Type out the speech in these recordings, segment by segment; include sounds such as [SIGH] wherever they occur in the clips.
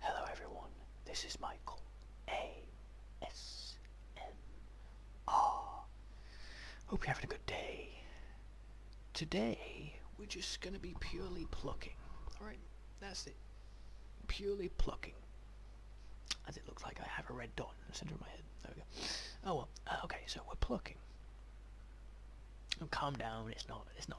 Hello everyone, this is Michael ASMR. Hope you're having a good day. Today, we're just gonna be purely plucking. Alright, that's it. Purely plucking. As it looks like I have a red dot in the center of my head. There we go. Oh well, uh, okay, so we're plucking. calm down, it's not, it's not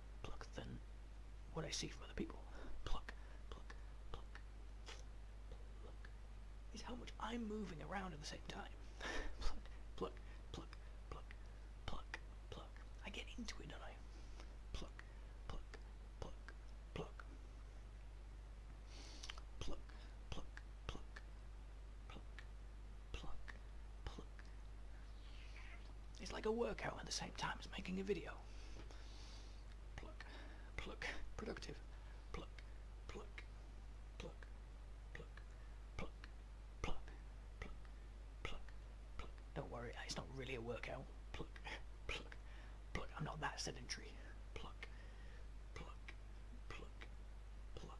pluck, pluck, than what I see from other people. Pluck, pluck, pluck, pluck. Is how much I'm moving around at the same time. [LAUGHS] pluck, pluck, pluck, pluck, pluck, pluck. I get into it, don't I? Pluck, pluck, pluck, pluck. Pluck, pluck, pluck, pluck, pluck, pluck. It's like a workout at the same time as making a video. Pluck, pluck, productive. Pluck, pluck, pluck, pluck, pluck, pluck, pluck, pluck, pluck. Don't worry, it's not really a workout. Pluck, pluck, pluck. I'm not that sedentary. Pluck, pluck, pluck, pluck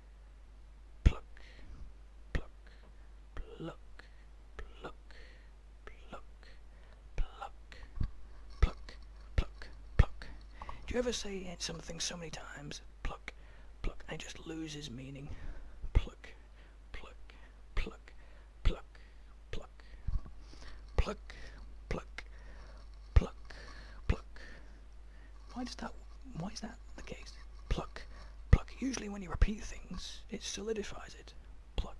Pluck, pluck, pluck, pluck, pluck, pluck, pluck, pluck, pluck. Do you ever say something so many times, pluck, pluck, and it just loses meaning? Pluck, pluck, pluck, pluck, pluck, pluck, pluck, pluck, pluck, pluck, why does that? Why is that the case? Pluck, pluck. Usually when you repeat things, it solidifies it. Pluck,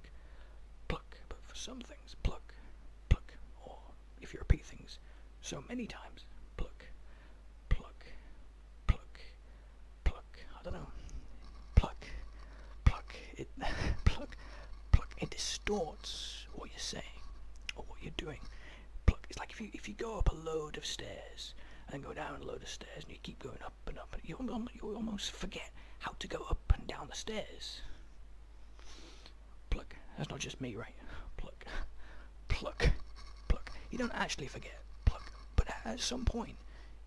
pluck. But for some things, pluck, pluck. Or if you repeat things so many times, pluck, pluck, pluck, pluck. I don't know. Pluck, pluck. It [LAUGHS] pluck, pluck. It distorts what you're saying or what you're doing pluck. It's like if you if you go up a load of stairs and go down a load of stairs and you keep going up and up, you you almost forget how to go up and down the stairs. Pluck. That's not just me, right? Pluck, pluck, pluck. You don't actually forget pluck, but at some point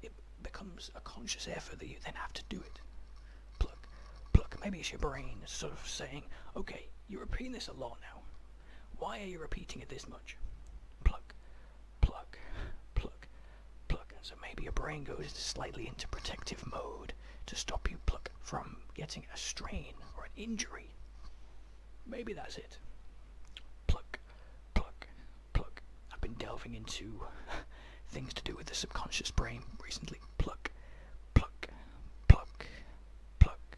it becomes a conscious effort that you then have to do it. Pluck, pluck. Maybe it's your brain sort of saying, okay, you're repeating this a lot now. Why are you repeating it this much? Pluck, pluck, pluck, pluck. so maybe your brain goes slightly into protective mode to stop you pluck from getting a strain or an injury. Maybe that's it. Pluck, pluck, pluck. I've been delving into [LAUGHS] things to do with the subconscious brain recently. Pluck, pluck, pluck, pluck,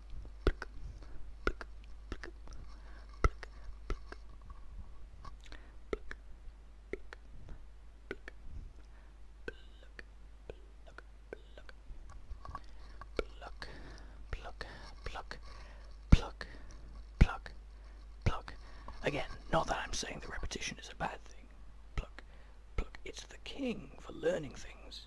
pluck, pluck, pluck, pluck, pluck. Again, not that I'm saying the repetition is a bad thing. Pluck, pluck. It's the king for learning things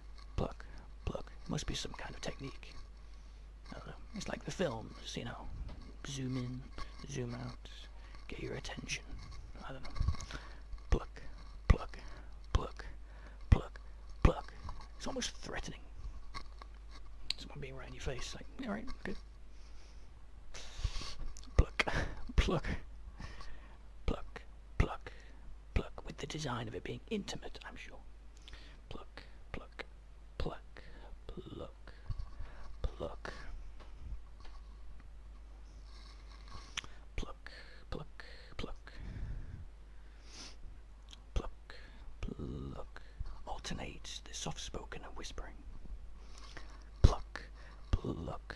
Pluck, pluck. Must be some kind of technique. Uh, it's like the films, you know. Zoom in, zoom out, get your attention. I don't know. Pluck, pluck, pluck, pluck, pluck. It's almost threatening. Someone being right in your face, like, alright, good. Pluck, [LAUGHS] pluck. Pluck, pluck, pluck, with the design of it being intimate, I'm sure. Pluck, pluck, pluck, pluck, pluck. Pluck, pluck, pluck. Pluck, pluck. Alternate the soft spoken and whispering. Pluck, pluck,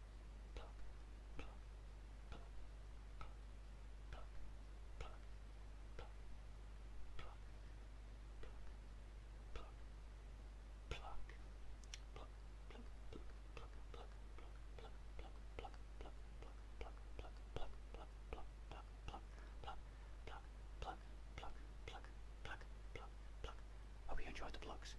pluck, Hope you enjoyed the plugs.